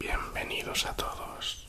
Bienvenidos a todos.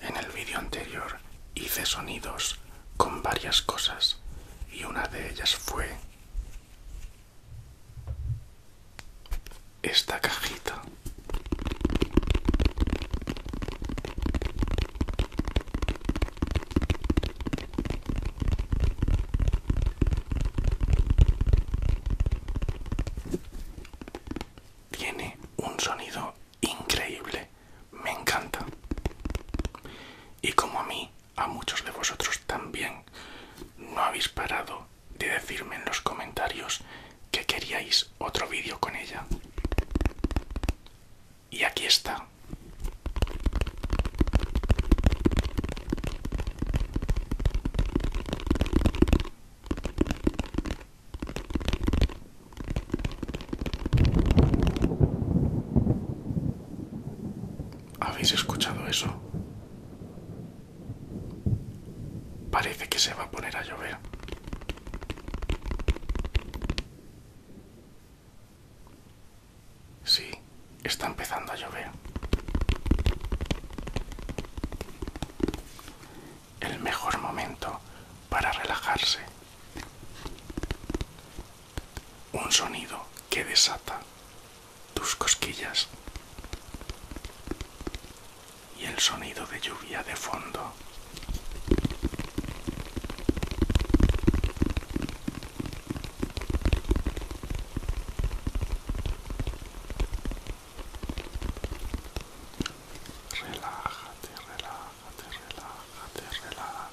En el vídeo anterior hice sonidos con varias cosas y una de ellas fue esta cajita. Tiene un sonido increíble, me encanta. Y como a mí, a muchos de vosotros también, no habéis parado de decirme en los comentarios que queríais otro vídeo con ella. Y aquí está. ¿Habéis escuchado eso? Parece que se va a poner a llover. Sí, está empezando a llover. El mejor momento para relajarse. Un sonido que desata tus cosquillas y el sonido de lluvia de fondo. Relájate, relájate, relájate, relájate.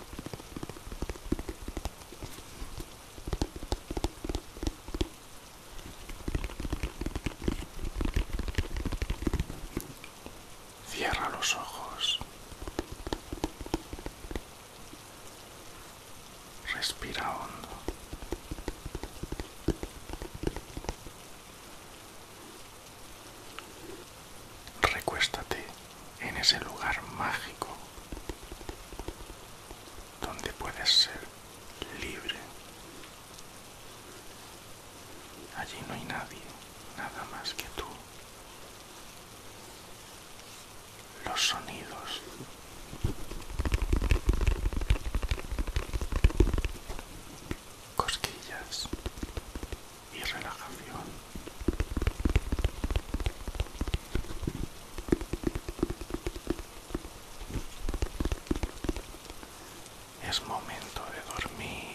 Cierra los ojos. Respira hondo. Recuéstate en ese lugar mágico donde puedes ser libre. Allí no hay nadie, nada más que tú. Los sonidos. Cosquillas y relajación. Es momento de dormir.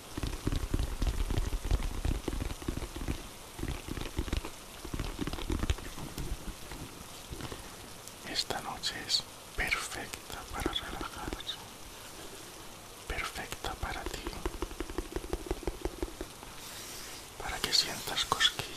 Esta noche es perfecta para relajarse, perfecta para ti, para que sientas cosquillas.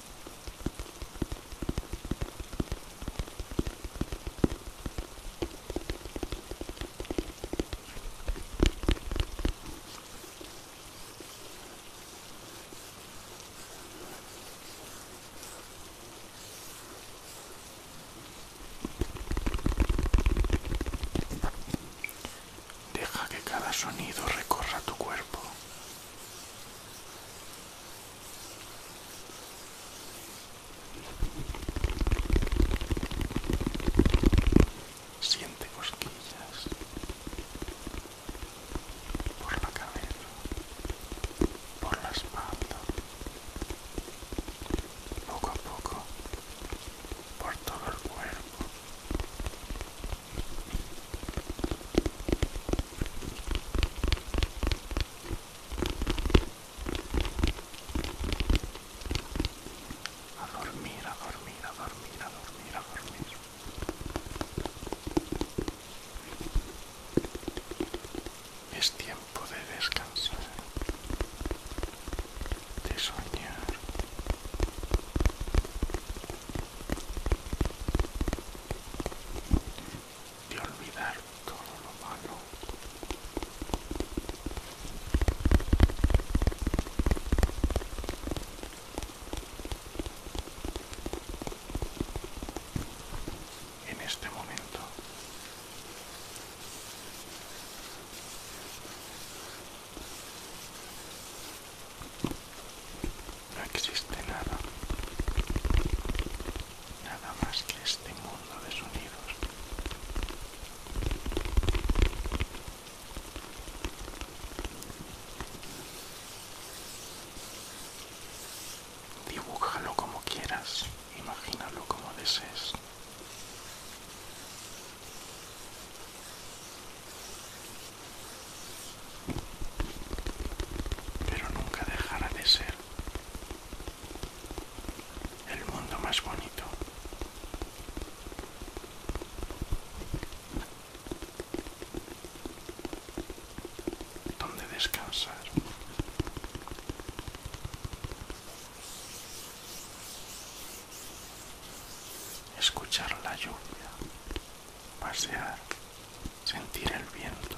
Deja que cada sonido recorra tu cuerpo. Siente cosquillas por la cabeza, por la espalda, poco a poco por todo el cuerpo a dormir, a dormir, a dormir, a dormir, a dormir. Es tiempo de descansar, de soñar de olvidar todo lo malo. En este momento no existe nada, nada más que este mundo de sonidos. Dibújalo como quieras, imagínalo como desees pero nunca dejará de ser el mundo más bonito. Donde descansar. Escuchar la lluvia. Pasear sentir el viento.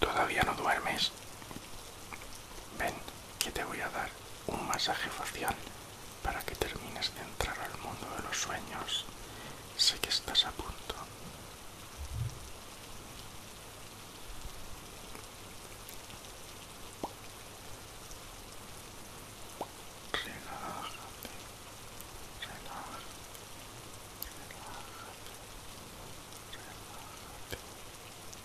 Todavía no duermes. Ven, que te voy a dar un masaje facial para que termines de entrar al mundo de los sueños. Sé que estás a punto. Relájate, relájate, relájate,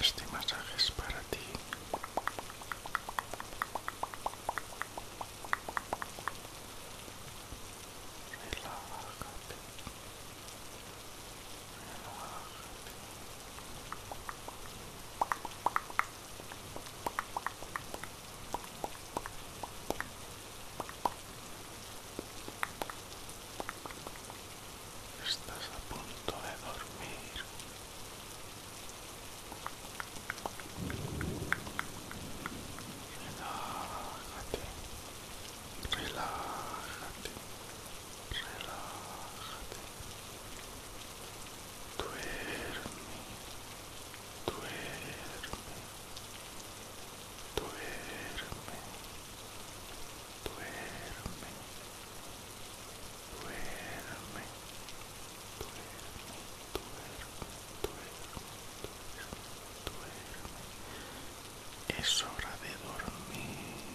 Este masaje es para ti. Relájate. Relájate. Estás a punto de dormir. Relájate. Relájate. Relájate. Duerme. Duerme. Duerme. duerme, duerme, duerme, duerme, duerme, duerme. Es hora de dormir,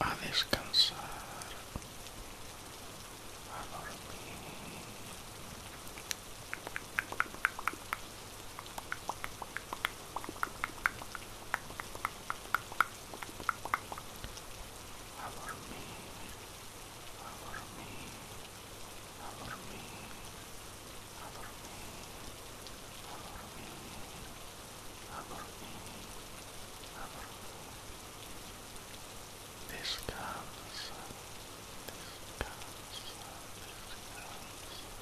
a descansar, a dormir. A dormir, a descansa.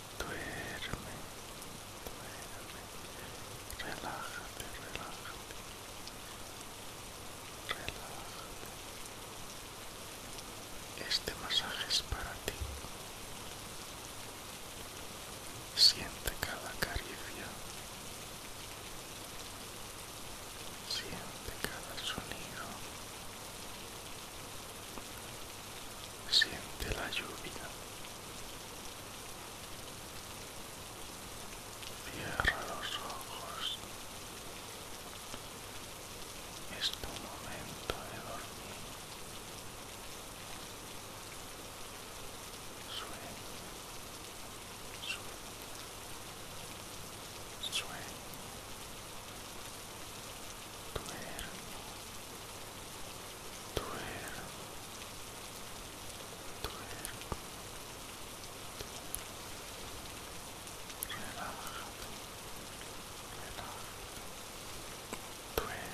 duerme, duerme, relájate, relájate, relájate. Este masaje es para ti. Siente cada caricia. Siente cada sonido siente la lluvia. Cierra los ojos. Es tu momento de dormir. sueño sueño tuerco, tuerco, relájate, relájate,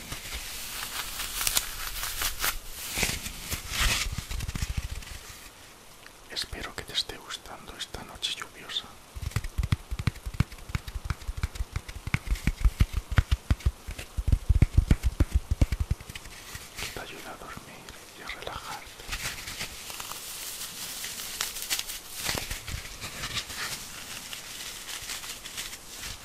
Espero que te esté gustando esta noche lluviosa. te ayuda a dormir y a relajarte.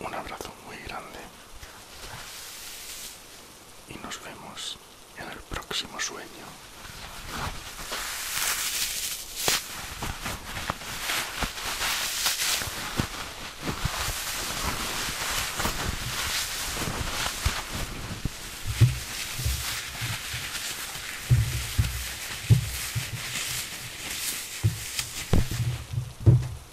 un abrazo muy grande y nos vemos en el próximo sueño.